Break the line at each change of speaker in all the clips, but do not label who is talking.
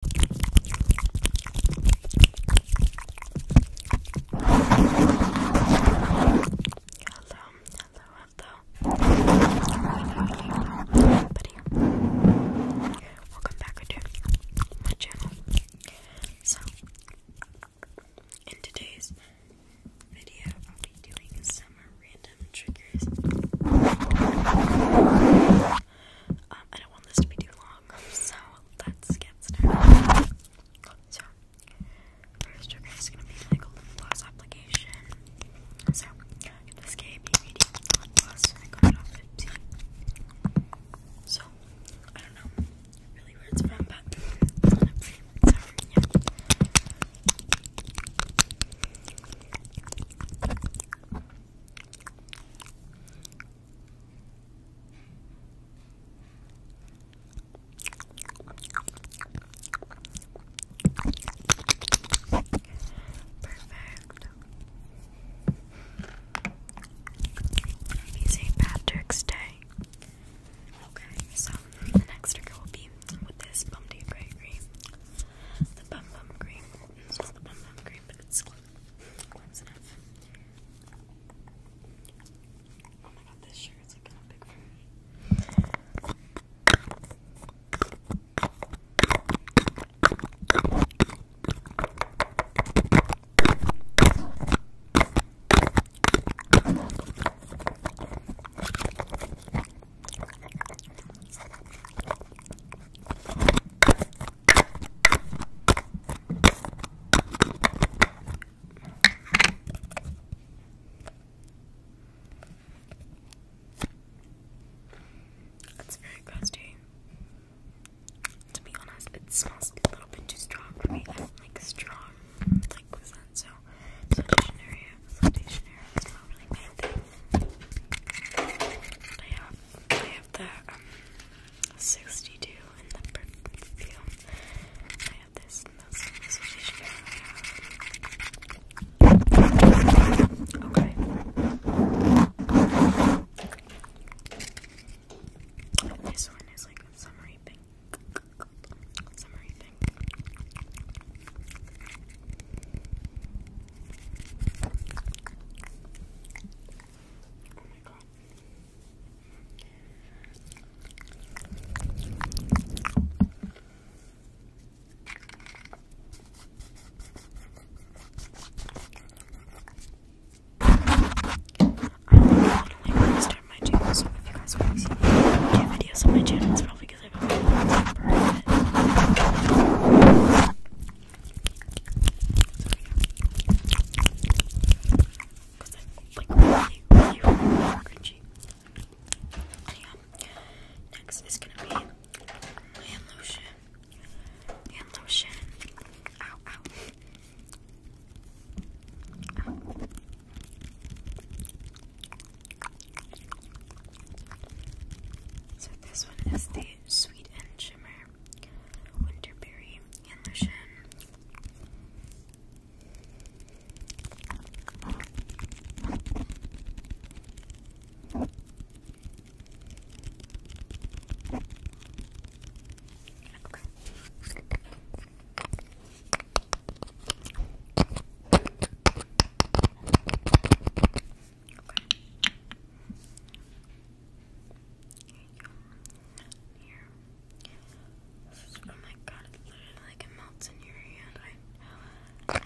hello, hello. Buddy. Welcome back to my channel. So, in today's video, I'll be doing some random triggers. Um, I don't want this to be too long, so let's get started. So, first, okay, it's gonna be like a lip application. So, this gave me medium got it off 15. So, I don't know really where it's from, but it's not a free, so, Perfect. Happy St. Patrick's Day. Okay, so the next trigger will be with this bum deep The bum bum cream it's just the pom-pom cream, but it's close enough. Oh my god, this shirt is like kind of big for me. It's very crusty. To be honest, it smells a little bit too strong for me. I don't like strong like scent, so
solutionary, solutionary. I have, I have the um, 62 in the field. I have this Okay. This one is like summery pink. Summery pink. Oh my god. I'm not going to like, start my channel, so if you guys want to see new videos on my channel, it's probably because I don't remember it. Because I'm like really, really, really cringy. Yeah. Next
is gonna be hand lotion. Hand lotion. Ow, ow. Ow. So this one is the Sweet and Shimmer Winterberry and here. This oh my god, it literally like melts in your hand. I, I, I,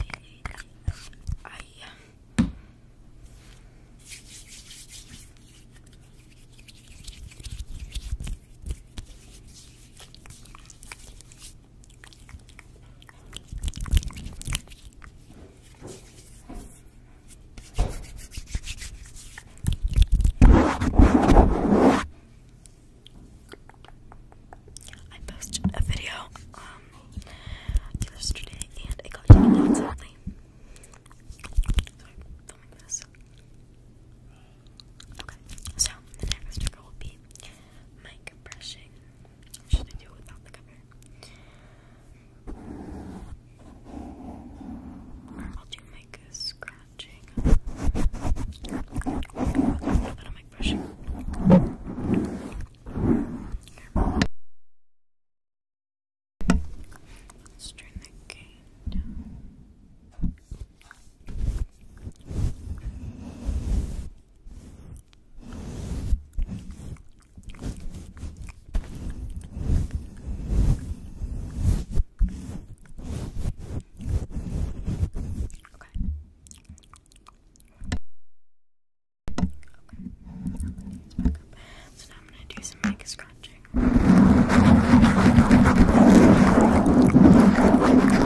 I, I, I, I I posted a video um yesterday and it got taken down filming this. Okay, so the next trigger will be mic brushing. Should I do it without the cover? I'll do mic scratching. I'll do brushing.
turn the gain down back up. So now I'm gonna do some mic scratching.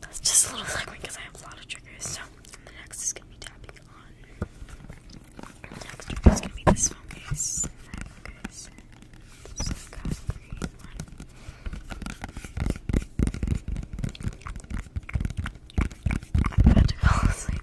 That's just a little segment because I have a lot of triggers. So the next is gonna be tapping on.
next trigger is gonna be this phone case. So I've one. I'm about to fall asleep.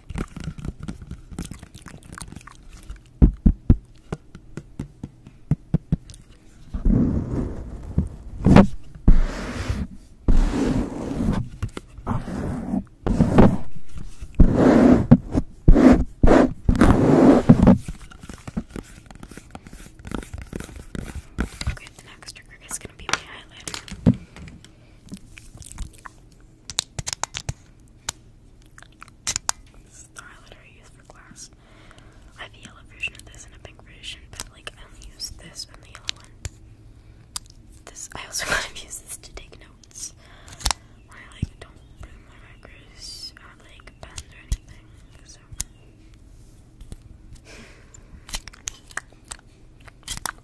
Okay, the next trigger is going to be my eyelid. This is the I for class. I have a yellow version of this and a pink version, but like I only use this and the yellow one. This I also kind of use this to take notes. I like don't bring my markers or like pens or anything. So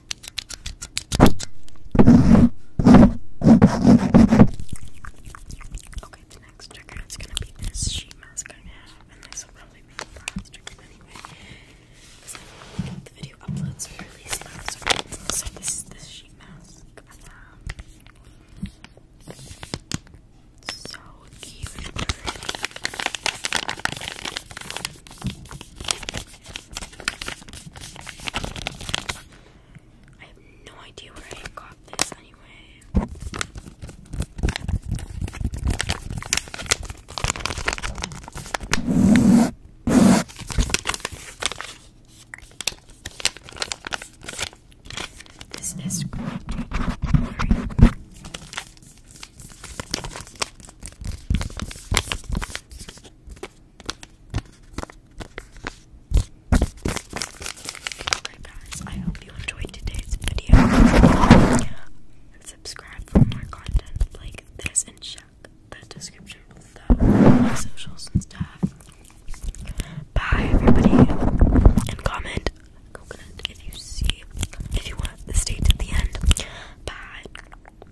Okay, the next trigger is gonna be this sheet mask I have, and this will probably be the last trigger anyway. the video uploads really slow, so, so this this sheet mask. Um, so cute pretty. I have no idea where I got this anyway. This is great. Alright guys, I hope you enjoyed today's video. And subscribe for more content like this and check the description below my socials and stuff. Bye everybody. And comment coconut if you see if you want to stay to the end. Bye.